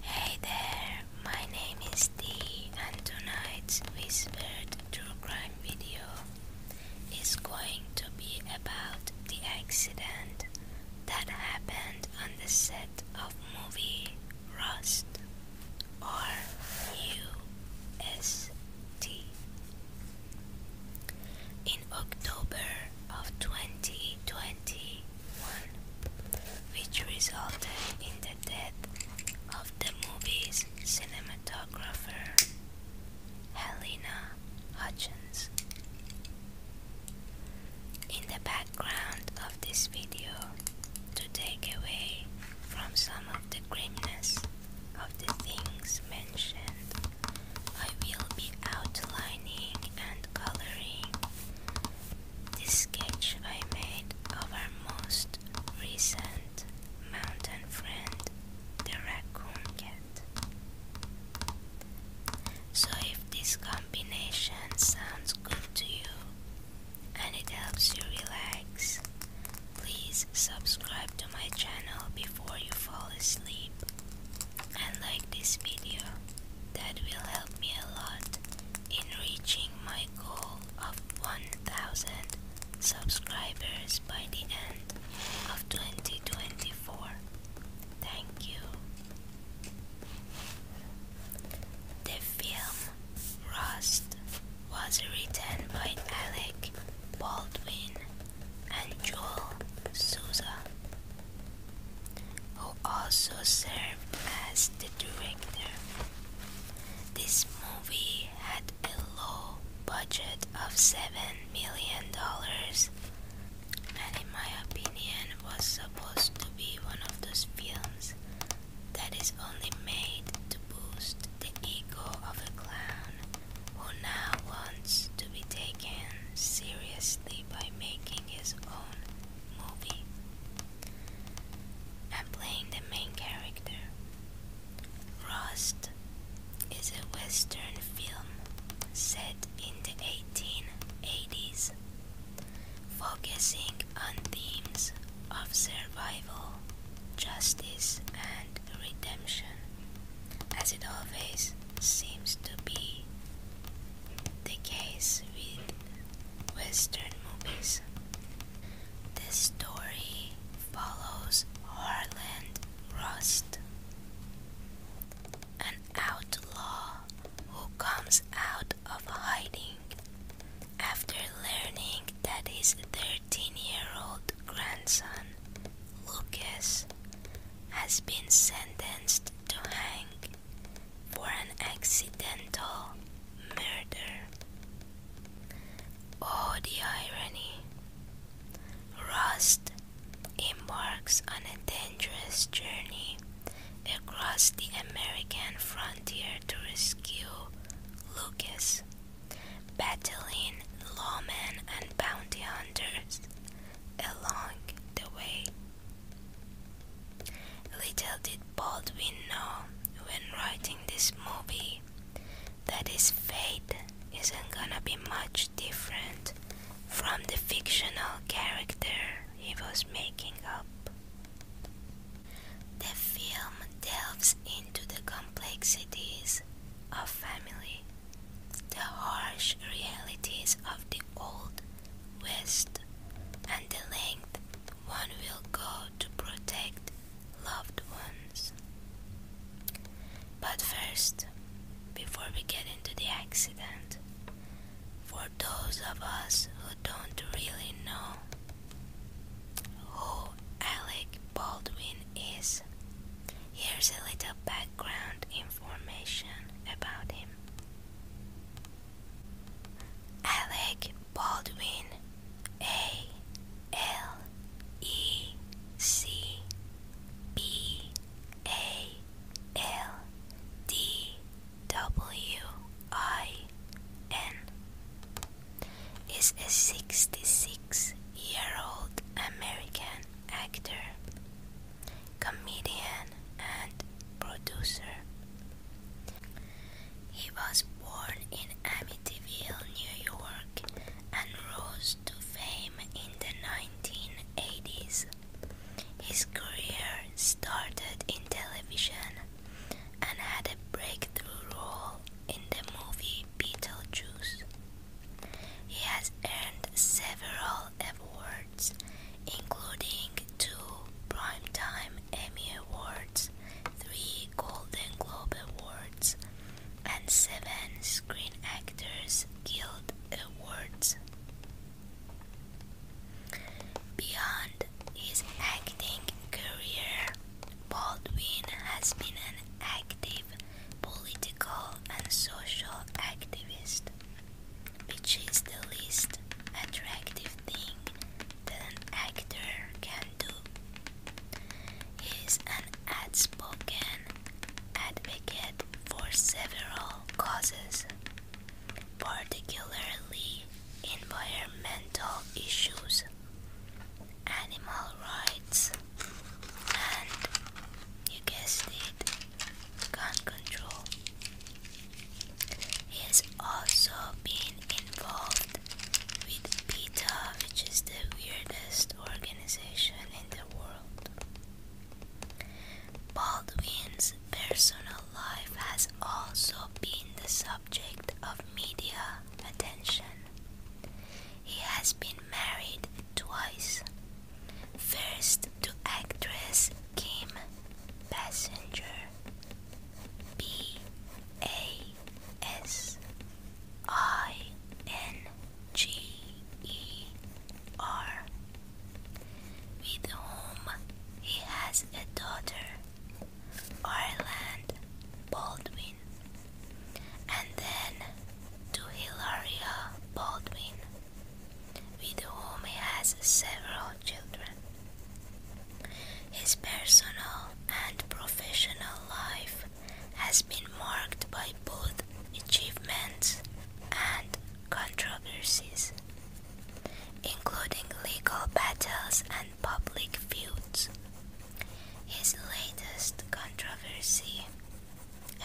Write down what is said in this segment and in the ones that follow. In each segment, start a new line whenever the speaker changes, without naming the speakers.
Hey there, my name is Dee and tonight's Whispered True Crime video is going to be about the accident that happened on the set of movie Rust or In October of 2020, 1, which resulted in the death of the movie's cinematographer, Helena Hutchins. In the background of this video, to take away from some of the grimness of the things mentioned, I will be outlining and coloring this sketch I made of our most recent mountain friend, the raccoon cat. So if this combination sounds good to you and it helps you relax, please subscribe to my channel before you fall asleep and like this video that will help me a lot in reaching my goal of 1000 subscribers by the end of 2024. Thank you. The film Rust was written by Alec Baldwin and Joel Souza who also served as the director. This movie had a low budget of $7 million and in my opinion was supposed to be one of those films that is only made to boost the ego of a clown who now wants to be taken seriously by making his own I'm playing the main character. Rust is a western film set in the 1880s, focusing on themes of survival, justice, and redemption, as it always seems to be the case with Western movies. This story follows Harland Rust, an outlaw who comes out of hiding after learning that his 13 year old grandson, Lucas, has been sentenced to hang for an accidental murder. Oh, the irony! Rust embarks on a dangerous journey across the American frontier to rescue Lucas, battling lawmen and bounty hunters along the way. Little did Baldwin know when writing this movie that his fate isn't gonna be much different from the fictional character he was making up. The film delves into the complexities of family, the harsh realities of Old West, and the length one will go to protect loved ones. But first, before we get into the accident, for those of us who don't really know who Alec Baldwin is, here's a little background information about him. Alec Baldwin, A L E C B A L D W I N, is a 66 year old American actor comedian, and producer. He was born in Amityville, New York, and rose to fame in the 1980s. His career started in television and had a breakthrough role in the movie Beetlejuice. He has earned several awards including two prime time Emmy Awards, three Golden Globe Awards, and seven Screen Actors Guild Awards. Beyond his acting career, Baldwin has been an active political and social activist which is the least attractive thing that an actor can do. He is an outspoken advocate for several causes, particularly environmental issues, animal rights, and you guessed it, gun control. He has also been involved with PETA, which is the weirdest organization in the world. Baldwin's personal life has also been the subject of media attention. He has been married twice. First to actress Kim Passenger B A S I N G E R with whom he has a daughter, Ireland Baldwin, and then to Hilaria Baldwin, with whom he has several children. His personal and professional life has been marked by both achievements and controversies, including legal battles and public feuds. His latest controversy,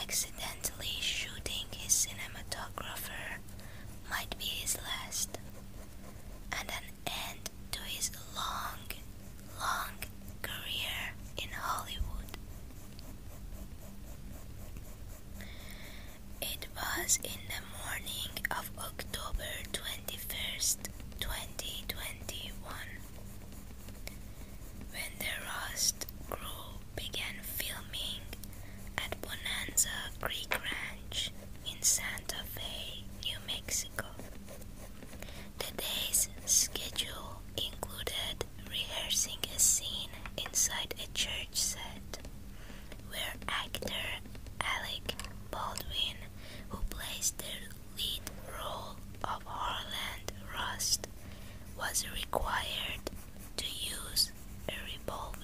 accidentally shooting his cinematographer might be his last, and an end to his long, long career in Hollywood. It was in the morning of October 21st, 2021, when the Rust crew began filming at Bonanza Creek Ranch in Santa Fe, New Mexico. The day's schedule included rehearsing a scene inside a church set where actor Alec Baldwin, who plays the lead role of Harland Rust, was required to use a revolver.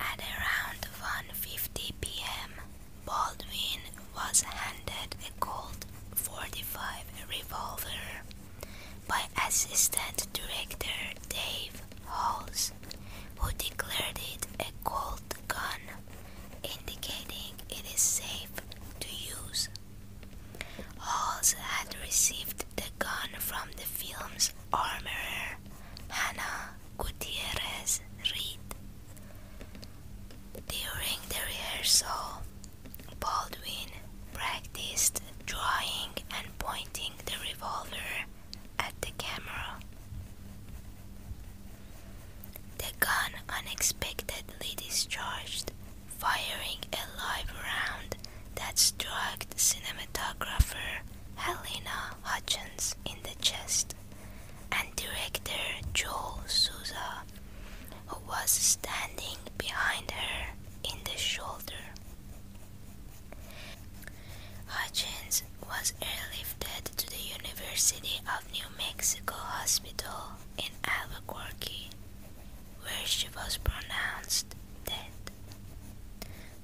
At around 1.50 p.m., Baldwin was handed a Colt 45 revolver by Assistant Director Dave Halls, who declared it a Colt gun, indicating it is safe to use. Halls had received the gun from the film's armorer, Hannah Gutierrez Reed. During the rehearsal, Baldwin practiced drawing and pointing the revolver at the camera. The gun unexpectedly discharged, firing a live round and that struck cinematographer Helena Hutchins in the chest and director Joel Souza, who was standing behind her in the shoulder. Hutchins was airlifted to the University of New Mexico Hospital in Albuquerque, where she was pronounced dead.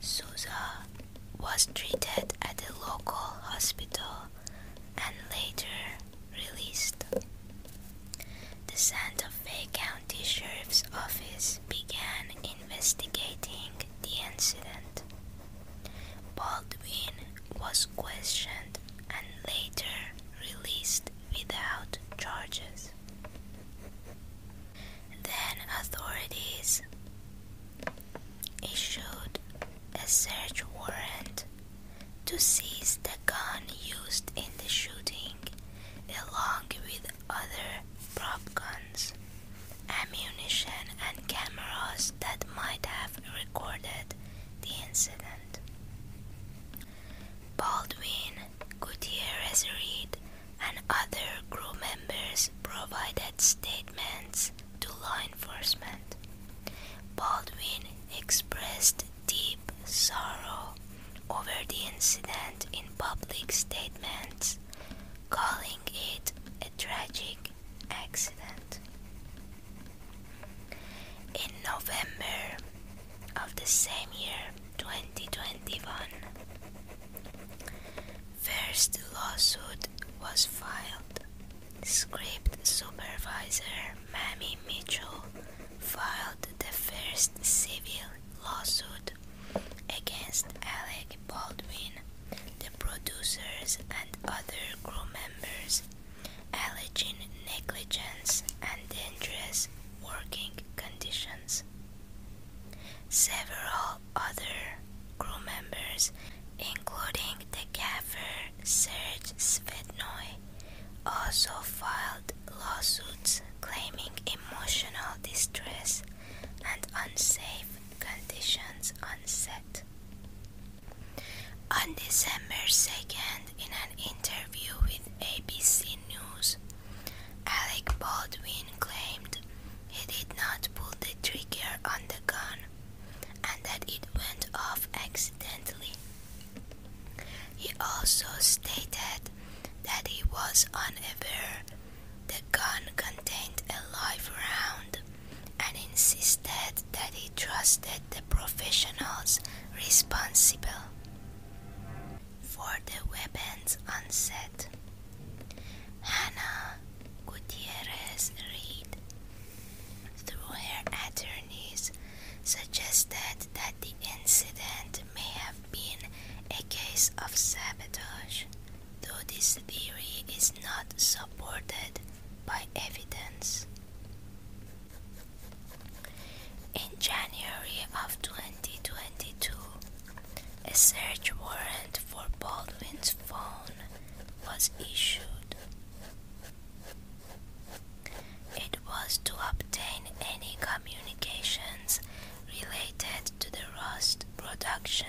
Souza was treated at a local hospital and later released. The Santa Fe County Sheriff's Office began investigating the incident. Baldwin was questioned and later released without charges. Then authorities issued a search warrant to seize the gun used in the shooting along with other prop guns, ammunition, and cameras that might have recorded the incident. Baldwin Gutierrez read and other crew members provided statements to law enforcement. Baldwin expressed deep sorrow over the incident in public statements, calling it a tragic accident. In November of the same year, 2021. First lawsuit was filed. Script supervisor Mamie Mitchell filed the first civil lawsuit against Alec Baldwin, the producers and other crew members, alleging negligence and dangerous working conditions. Several other crew members, including the gaffer Serge Svetnoy, also filed lawsuits claiming emotional distress and unsafe conditions on set. On December 2nd, in an interview with ABC News, Alec Baldwin claimed he did not pull the trigger on the gun and that it went off accidentally. He also stated that he was unaware the gun contained a live round and insisted that he trusted the professionals responsible for the weapons on set. Hannah Gutierrez Reed, through her attorneys, suggested that the incident may have been a case of sabotage, though this theory is not supported by evidence. In January of 20 2022, a search warrant for Baldwin's phone was issued. It was to obtain any communications related to the Rust production,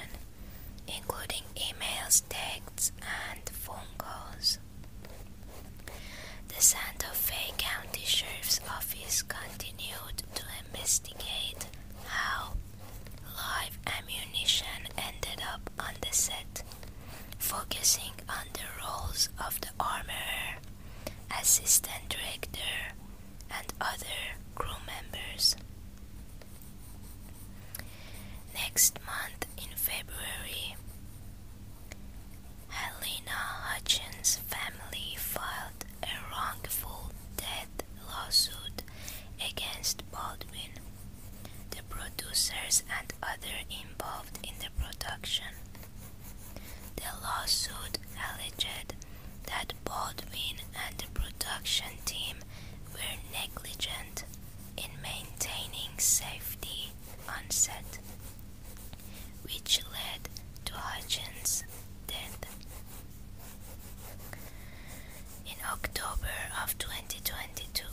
including emails, texts, and phone calls. The Santa Fe County Sheriff's Office continued to investigate how live ammunition ended up on the set, focusing on the roles of the armor assistant director, and other crew members. Next month in February, Helena Hutchins' family filed a wrongful death lawsuit against Baldwin, the producers, and other involved in the production. The lawsuit alleged that Baldwin and the production team were negligent in maintaining safety on set, which led to Hutchins' death. In October of 2022,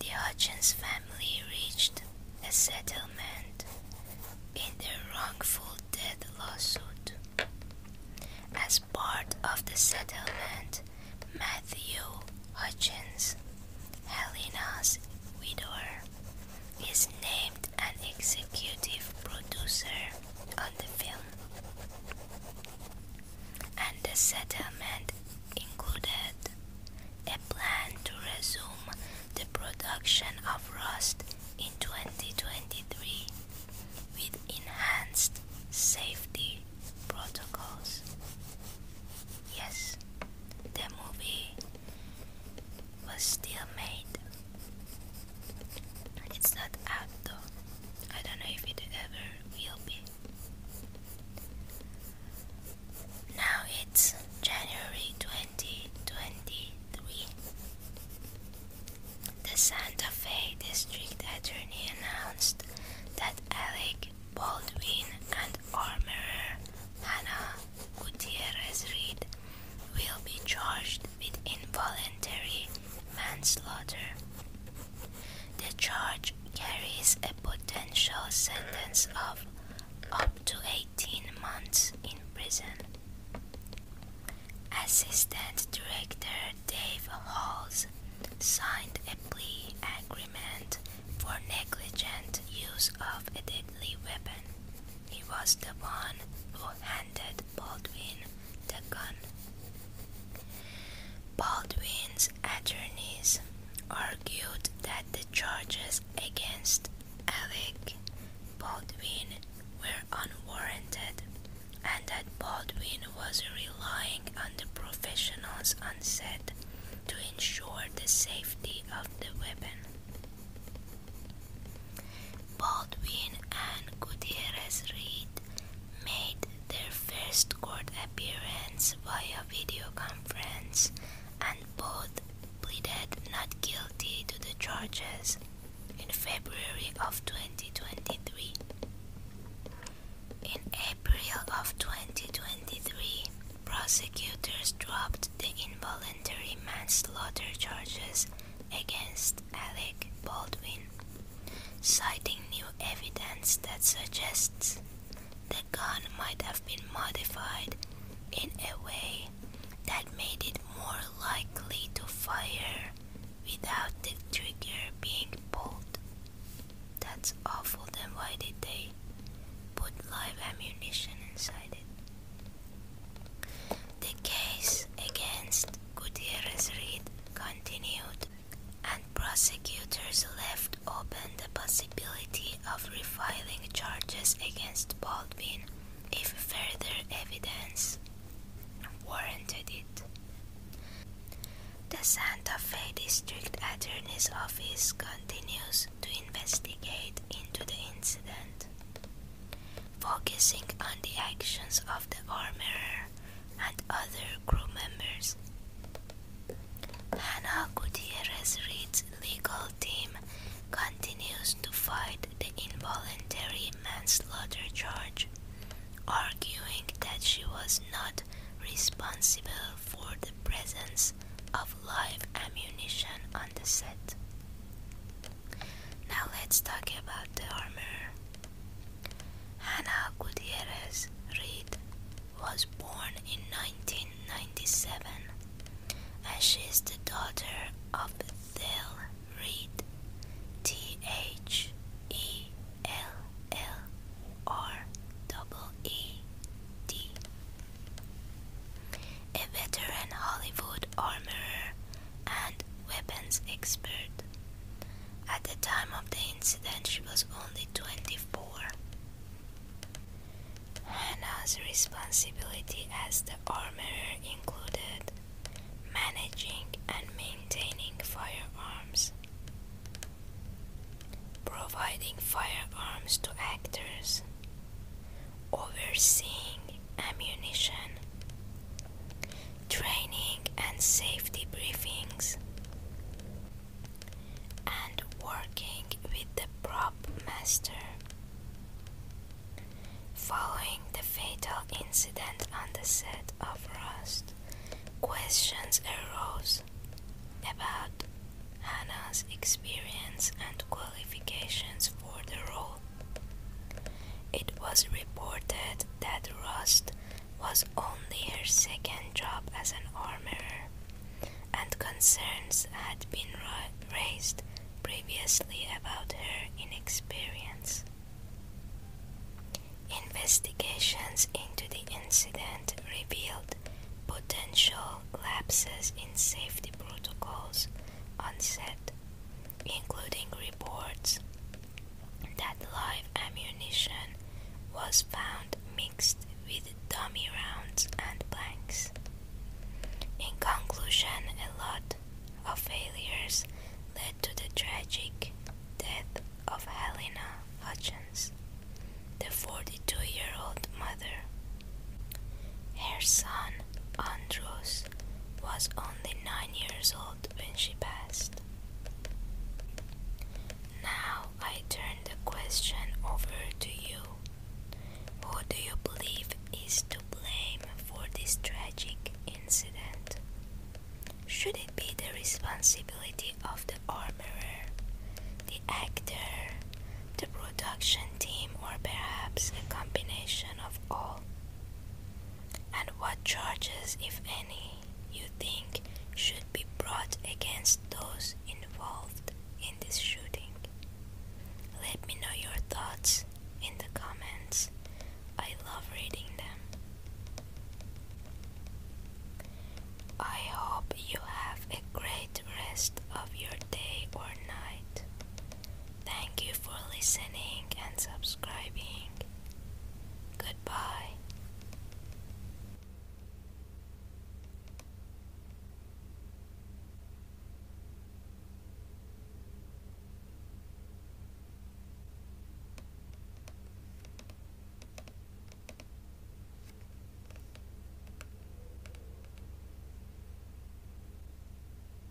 the Hutchins family reached a settlement in their wrongful death lawsuit. As part of the settlement, Matthew Hutchins, Helena's widower, is named and executive producer on the film, and the settlement included a plan to resume the production of Rust in 2023 with enhanced safety protocols. Yes, the movie was still made it's not out though. I don't know if it ever will be. Now it's January 2023. The Santa Fe District Attorney announced that Alec Baldwin and armorer Hannah Gutierrez Reed will be charged with involuntary manslaughter. The charge carries a potential sentence of up to 18 months in prison. Assistant Director Dave Halls signed a plea agreement for negligent use of a deadly weapon. He was the one who handed Baldwin the gun. Baldwin's attorneys argued that the charges against Alec Baldwin were unwarranted and that Baldwin was relying on the professionals on set to ensure the safety of the weapon. Baldwin and Gutierrez Reid made their first court appearance via video conference and both pleaded not guilty to the charges in February of 2023. In April of 2023, prosecutors dropped the involuntary manslaughter charges against Alec Baldwin, citing new evidence that suggests the gun might have been modified in a way that made it more likely to fire without the trigger being pulled. That's awful, then why did they put live ammunition inside it? The case against Gutierrez Reed continued, and prosecutors left open the possibility of refiling charges against Baldwin if further evidence warranted it. The Santa Fe District Attorney's Office continues to investigate into the incident focusing on the actions of the armorer and other crew members. Hannah Gutierrez Reid's legal team continues to fight the involuntary manslaughter charge, arguing that she was not responsible for the presence of live ammunition on the set. Now let's talk about the armor. Hannah Gutierrez Reed was born in 1997 and she is the daughter of Thel Reed, T H E L L R E D. A veteran Hollywood armorer and weapons expert. At the time of the incident, she was only 24. Hannah's responsibility as the armorer included managing and maintaining firearms, providing firearms to actors, overseeing ammunition, training and safety briefings, and working with the prop master. Following the fatal incident on the set of Rust, questions arose about Hannah's experience and qualifications for the role. It was reported that Rust was only her second job as an armorer, and concerns had been raised previously about her inexperience. Investigations into the incident revealed potential lapses in safety protocols on set, including reports that live ammunition was found mixed with dummy rounds and blanks. In conclusion, a lot of failures led to the tragic death of Helena Hutchins, the 42 year old mother. Her son, Andrews was only nine years old when she passed. Now I turn the question over to you. Who do you believe is to blame for this tragic incident? Should it be the responsibility of the armorer, the actor, the production team, or perhaps a combination of all? and what charges, if any, you think should be brought against those involved in this shooting. Let me know your thoughts in the comments. I love reading them. I hope you have a great rest of your day or night. Thank you for listening and subscribing. Goodbye.